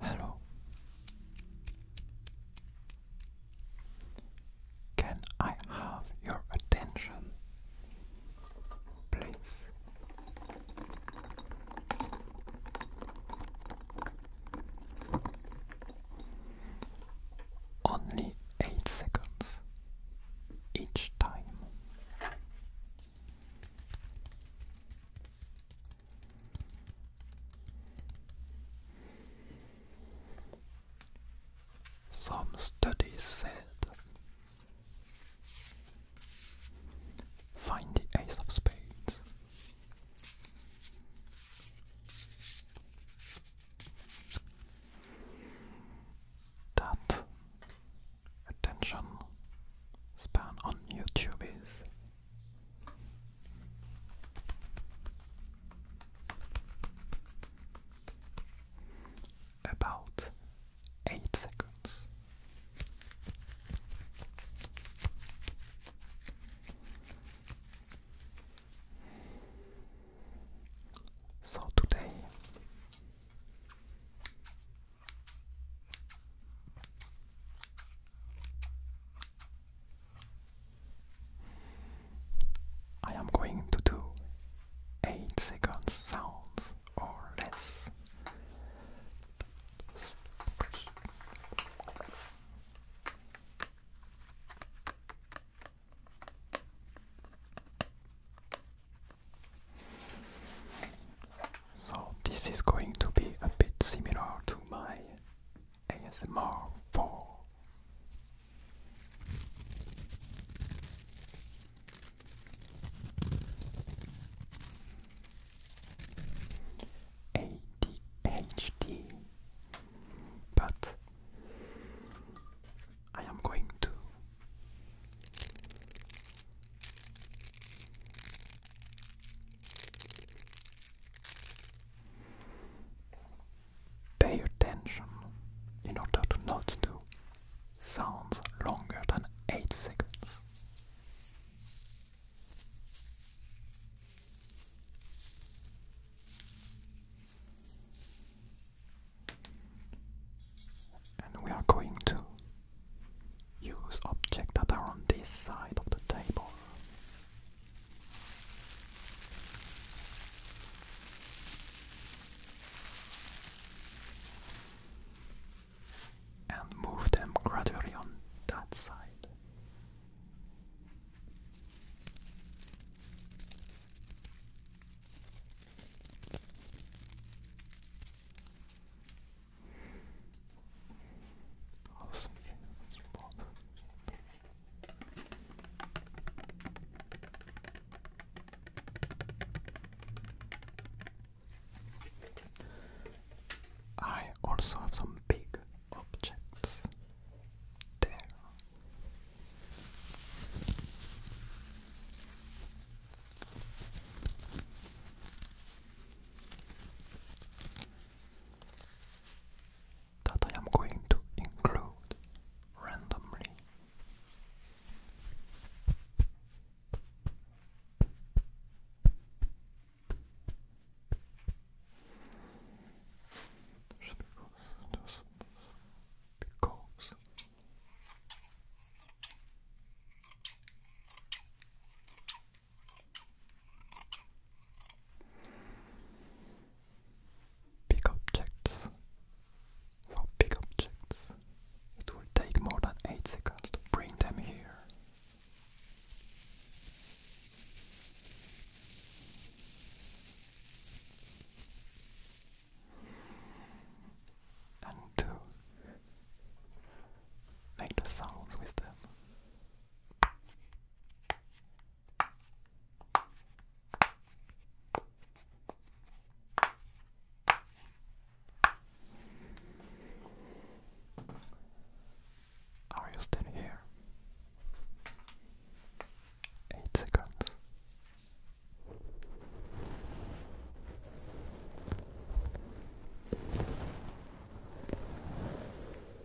Hello. Can I have your attention, please? Only eight seconds each time. Some studies said find the ace of spades. That attention span on YouTube is about eight seconds. So today I am going to do 8 seconds sounds or less. So this is going to be a bit similar to my ASMR 4. ADHD, but I am going to Pay attention in order to not do sounds longer than 8 seconds. And we are going to use objects that are on this side of the table. And move them gradually on that side. I also have some big objects there that I am going to include randomly. Just because, just because. Big objects. For big objects, it will take more than 8 seconds to bring them here. And to make the sounds with them. Are you still here? Eight seconds.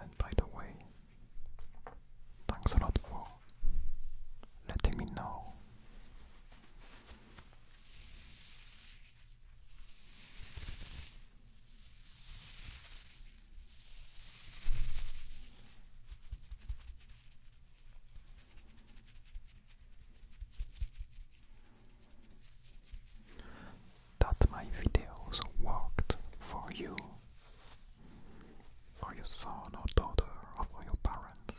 And by the way, thanks a lot for letting me know that my videos worked for you, for your son or daughter, or for your parents.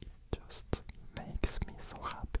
It just makes me so happy.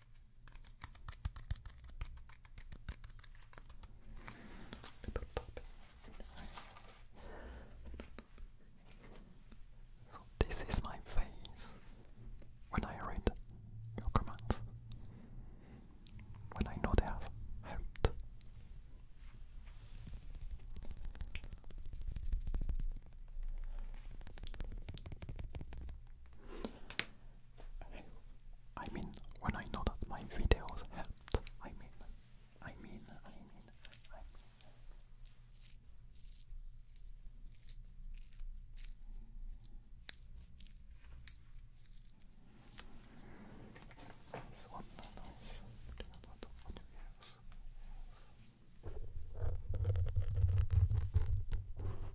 little top. So this is my face when I read your comments. When I know they have helped. I mean, when I know that my videos helped, I mean, I mean, I mean, I mean. This one nice, putting a lot of videos. Yes.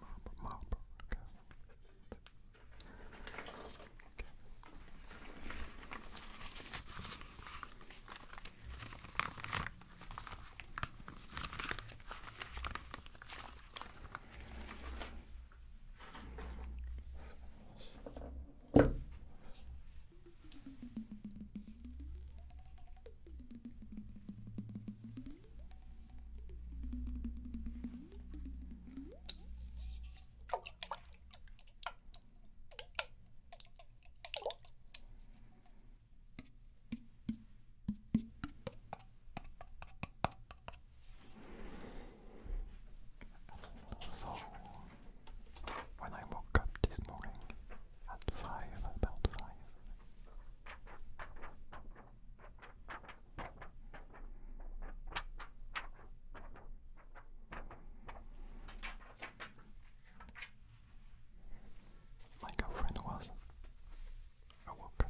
Marble, marble, okay. okay. Okay. So, when I woke up this morning at five, about five, my girlfriend was awoken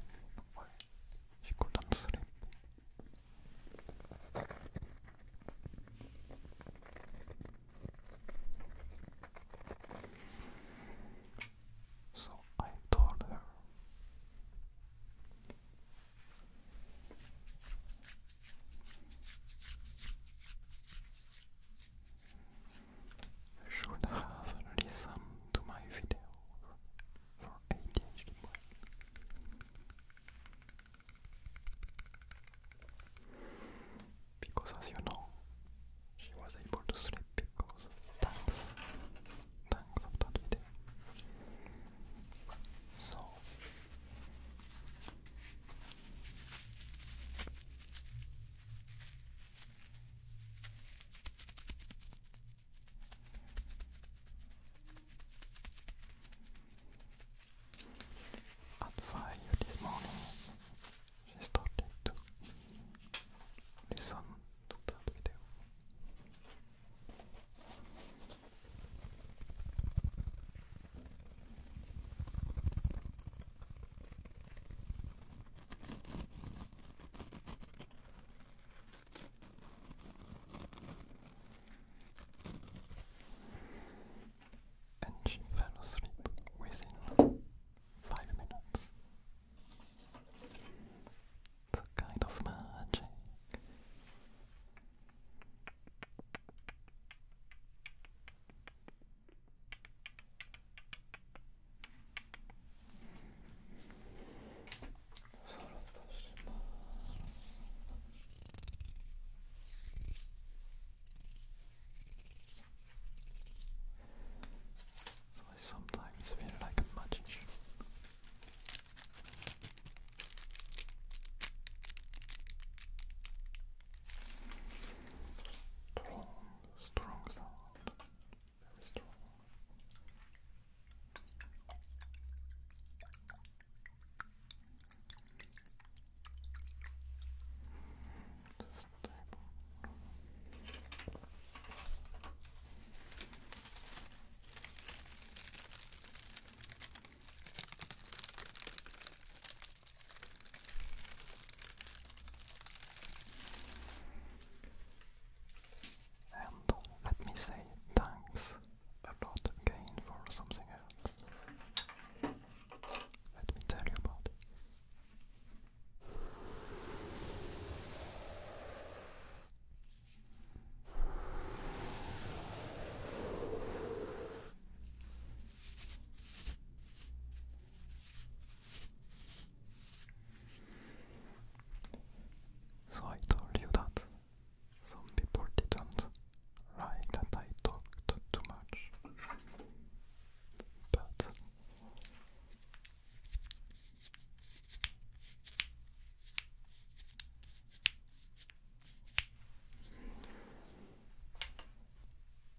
she couldn't sleep. So I told her. I should have listened to my videos for ADHD Because as you know, she was able to sleep because thanks, thanks of that video. So at five this morning, she started to Nisan tutar video. within five minutes. It's a kind of magic. I sometimes feel like a magician. Strong, strong sound, very strong. Just stable. And let me say thanks a lot again for something else. Let me tell you about so I told you that some people didn't like that I talked too much, but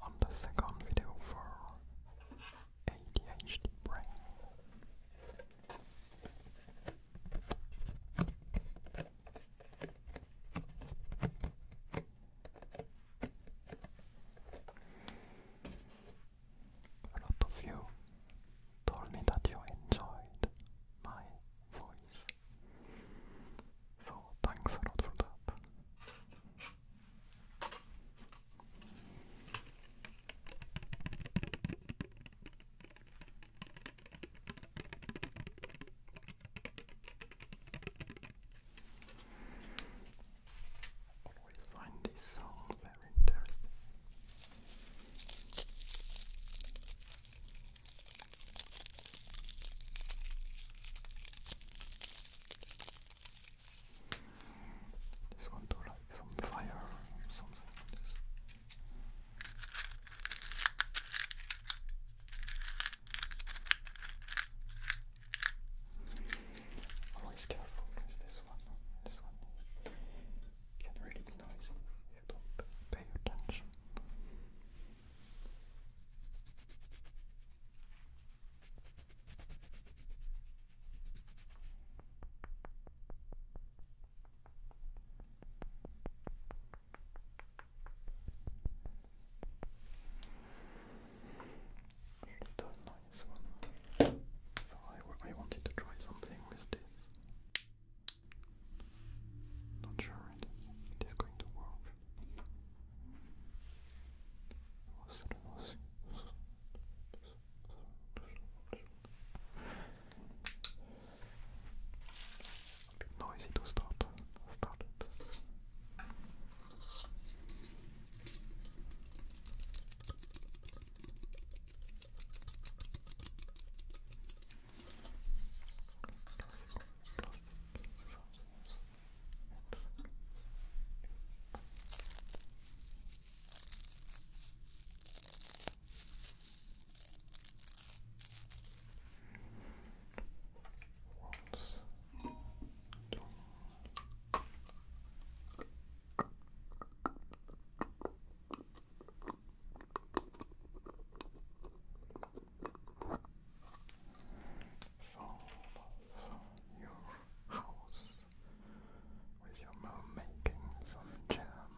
on the second video for ADHD brain. A lot of you told me that you enjoyed my voice. So thanks a lot for that always find this song very interesting. This one do like some fire or something like this. Always careful because this one, this one can really be noisy if you don't pay attention. Little noise. So I, I wanted to try something with this. Not sure it, it is going to work. A bit noisy to once, two, Solve you house with your mom making some jam.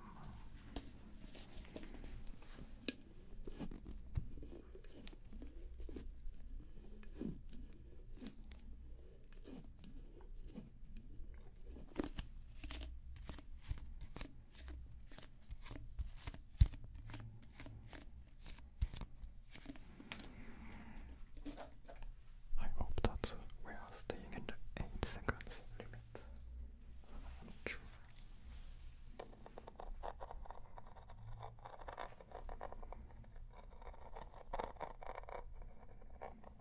I hope that we are staying in 8 seconds limit. sure. It's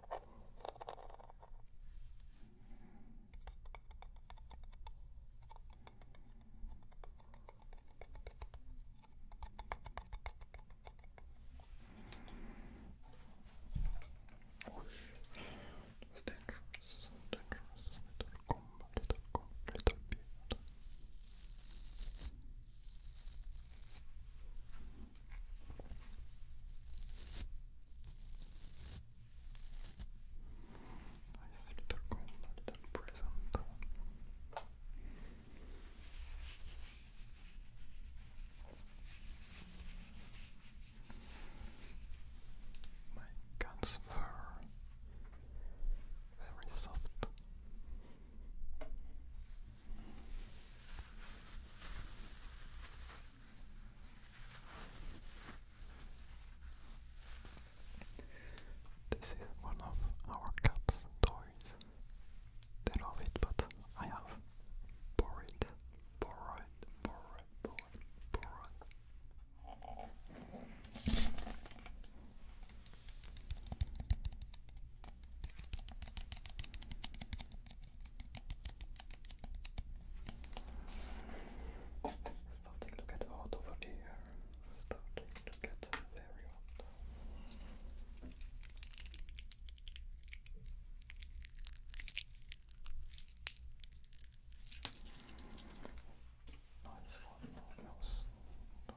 dangerous, Little comb, little comb, little beard. Nice little combo, little present. My cat's fur, very soft. This is one of our cat's toys. They love it, but I have borrowed, borrowed, borrowed, borrowed, borrowed. Starting to get hot over here. Starting to get very hot. Nice one, no else. Not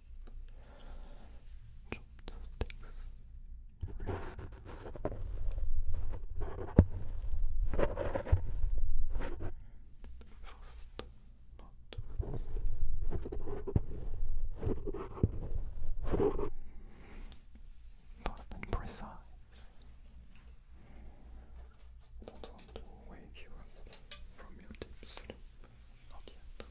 Fast and precise. don't want to wake you from your deep sleep. Not yet.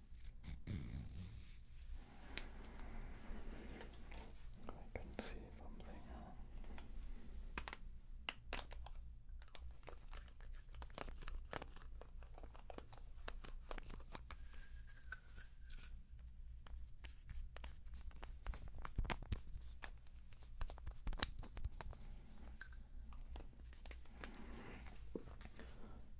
I can see something.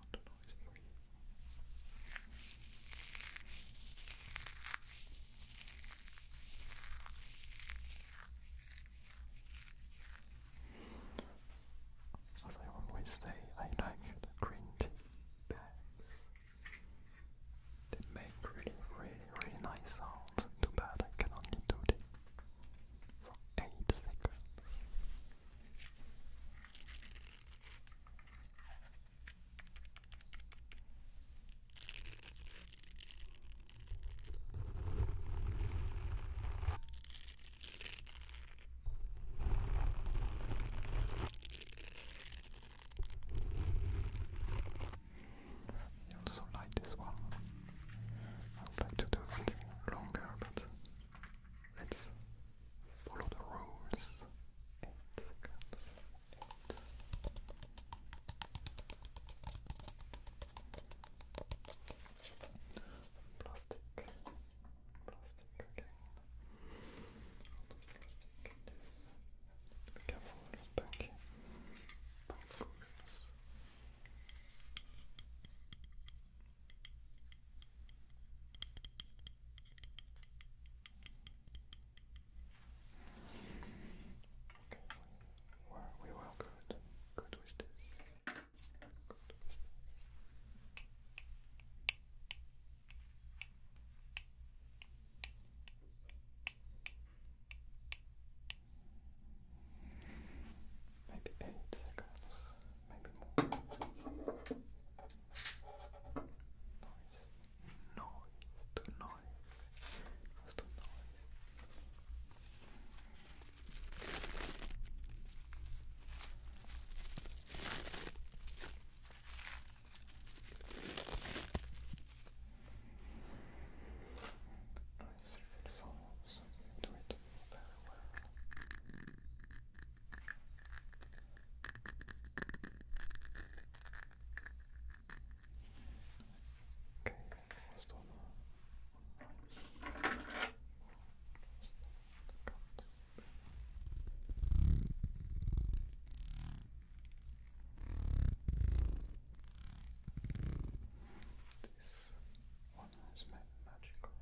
not you. As I always say, I like the green tea bags. They make really, really, really nice sounds. Too bad I can do this for 8 seconds. I also like this one. I would like to do it longer, but Let's follow the rules. Eight seconds. Eight. Plastic. Plastic again. Plastic. Be careful, not punky. Okay, we we were good. Good with this. Good with this. Maybe eight seconds maybe more. Noise, noise, do noise, let's do noise. Nice, solves so you do it very well. Okay, almost done. Almost This one is magical.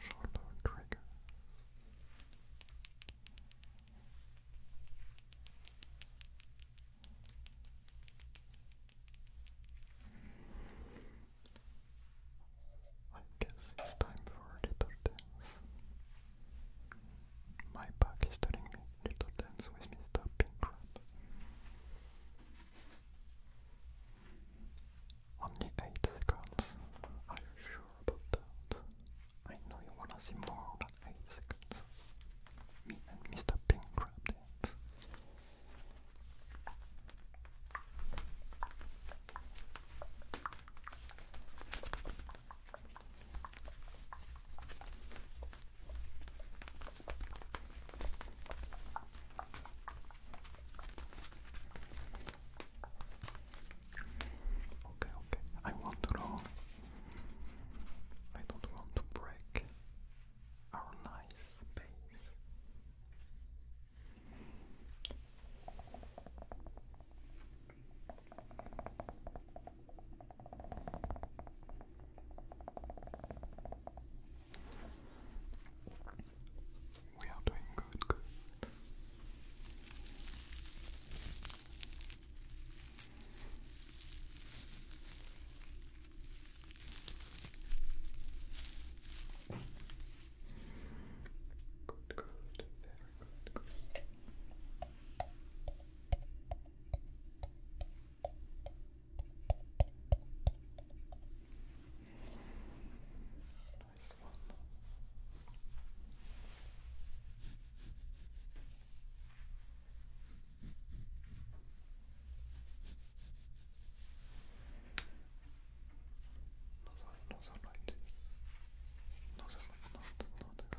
Shoulder triggers. I guess it's time for a little dance. My back is telling me little dance with Mr. Pink Crab. Only 8 seconds. Are you sure about that? I know you wanna see more than 8 seconds. Me and Mr. Pink Crab dance. Okay, okay. I want to know. I don't want to break our nice space. We are doing good, good. Good, good, very good, good. Nice one. No, so right this. No, so not, not, not, not, not.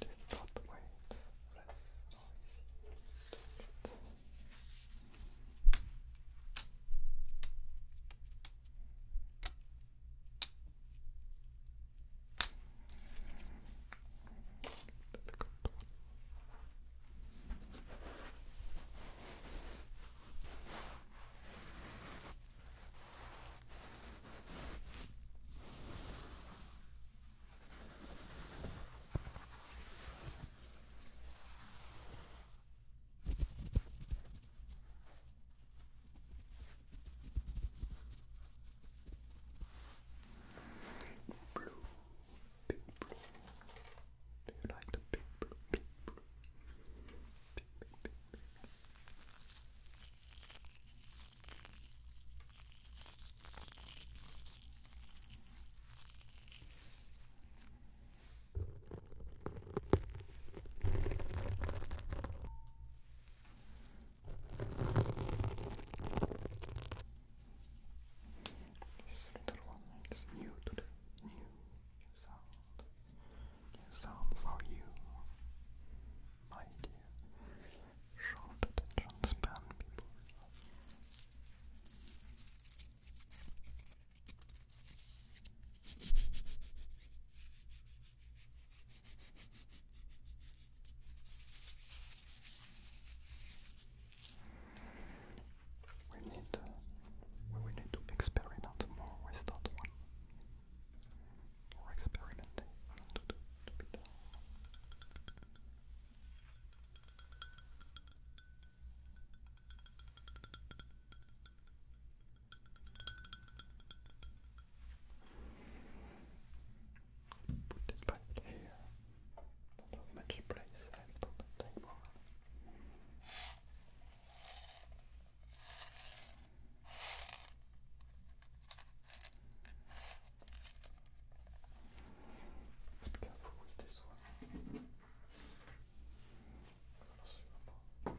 It is not weight, less noisy to it. Difficult one. Blue, big blue. Do you like the big blue, big blue? Big, big, big, big. This little one is new today. New, new sound. New sound for you, my dear. We need, we need to experiment more with that one more experimenting Put it here. Not have much place left on the table. Let's be careful with this one. That was nice.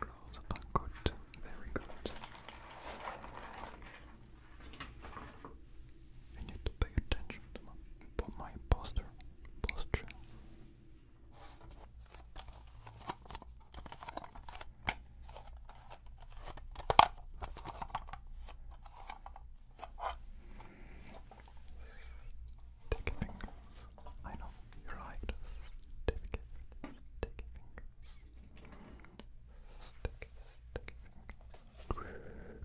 Those good, very good. You need to pay attention to my posture, posture. Sticky fingers. I know you're right. Sticky, sticky fingers. Sticky, sticky fingers.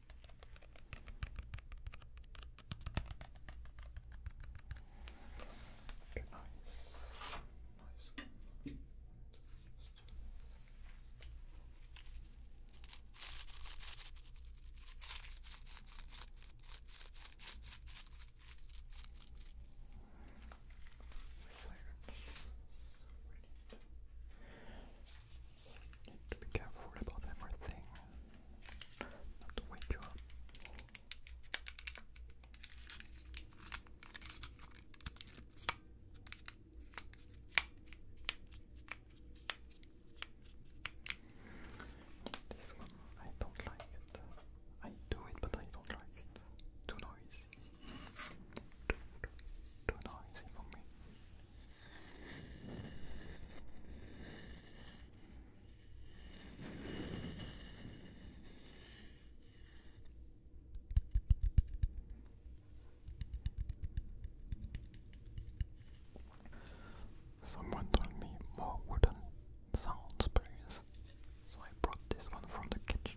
Okay, nice. Nice. to be careful about everything. Not to wake you up. This one, I don't like it. I do it, but I don't like it. Too noisy. Too, too, too noisy for me. Someone told me more wooden sounds, please. So I brought this one from the kitchen.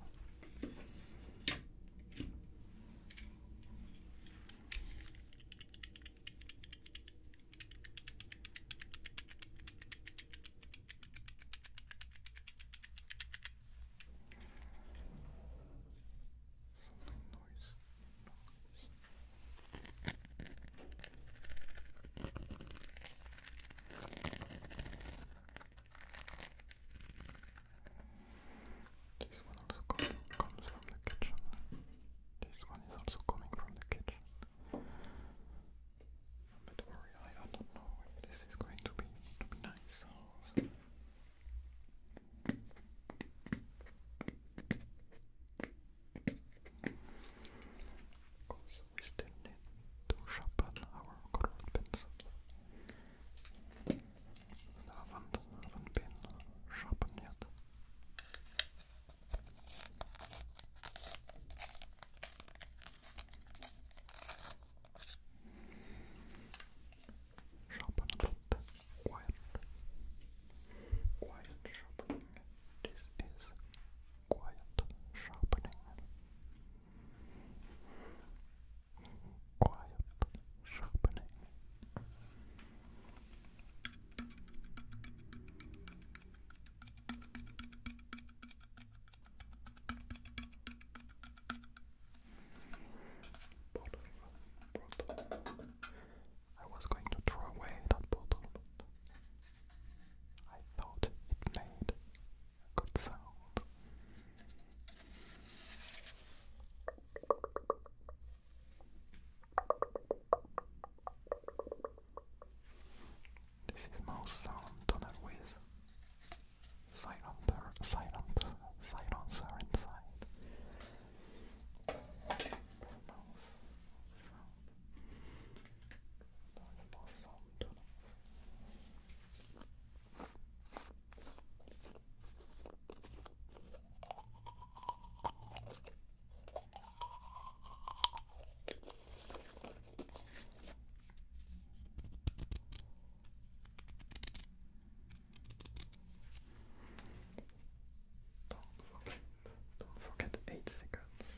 This one comes from the kitchen. This one is also coming from the kitchen. But do I, don't know if this is going to be to be nice. Of course, we still need to sharpen our colored pencils. They haven't, have sharpened Sharpen a bit. Quiet. Quiet sharpening. This is quiet sharpening. Quiet sharpening. Bottle, bottle. I was going to throw away that bottle, but I thought it made a good sound. This is mouse sound toner with silencer, silent, silencer inside. Mouse sound. mouse sound toners. Don't forget, don't forget eight seconds. Eight seconds.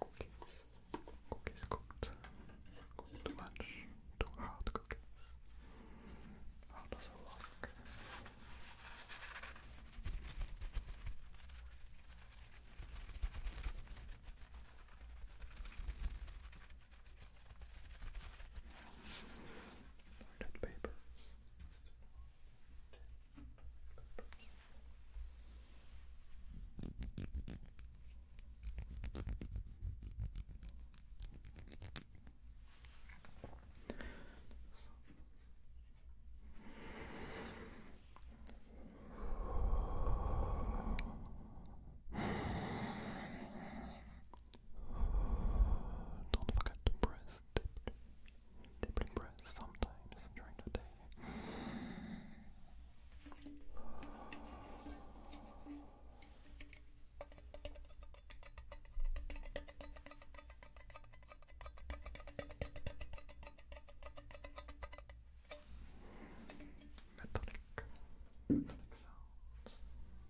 Cookies. Cookies cooked. too much. Too hard cookies. How does it work? Toilet papers. Don't forget to press, deeply, deeply sometimes during the day. Metallic, metallic sounds.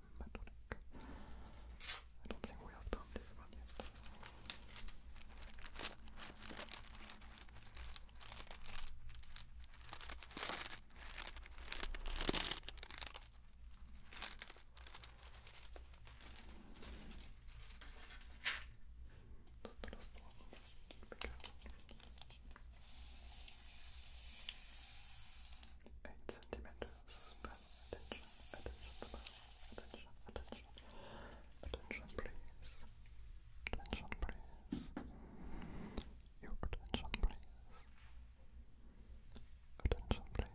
Matonic. I don't think we have done this one yet. Not the last one. Eight centimeters attention, attention, attention, attention, please, attention, please, your attention, please, attention, please.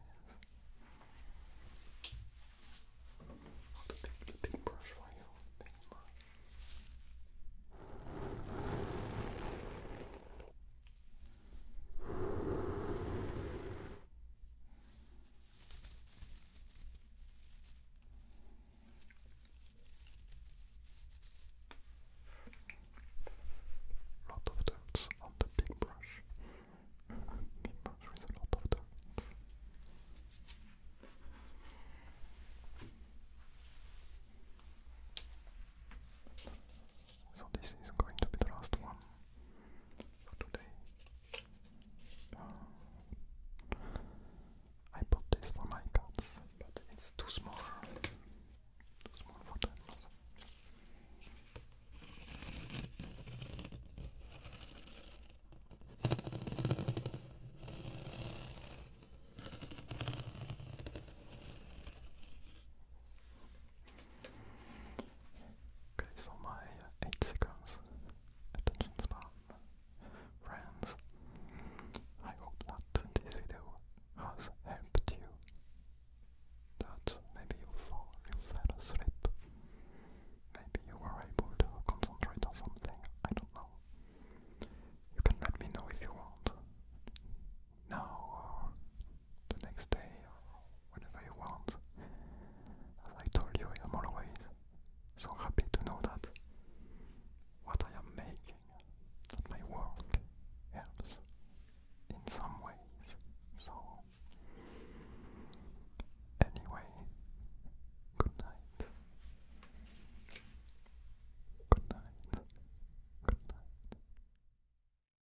Oh, the big, the big brush for you, big brush. Lot of dirt on the big brush. big brush with a lot of dirt. So this is going to be the last one for today. Uh, I bought this for my cats, but it's too small. Too small for them. Okay, so my uh, 8 seconds attention span friends. I hope that this video has helped you. That maybe you fall, you fell asleep. Maybe you were able to concentrate on something, I don't know. You can let me know if you want. Now or uh, the next day or whenever you want. As I told you, I am always so happy to know that what I am making, that my work helps in some ways. So, anyway, good night. Good night. Good night.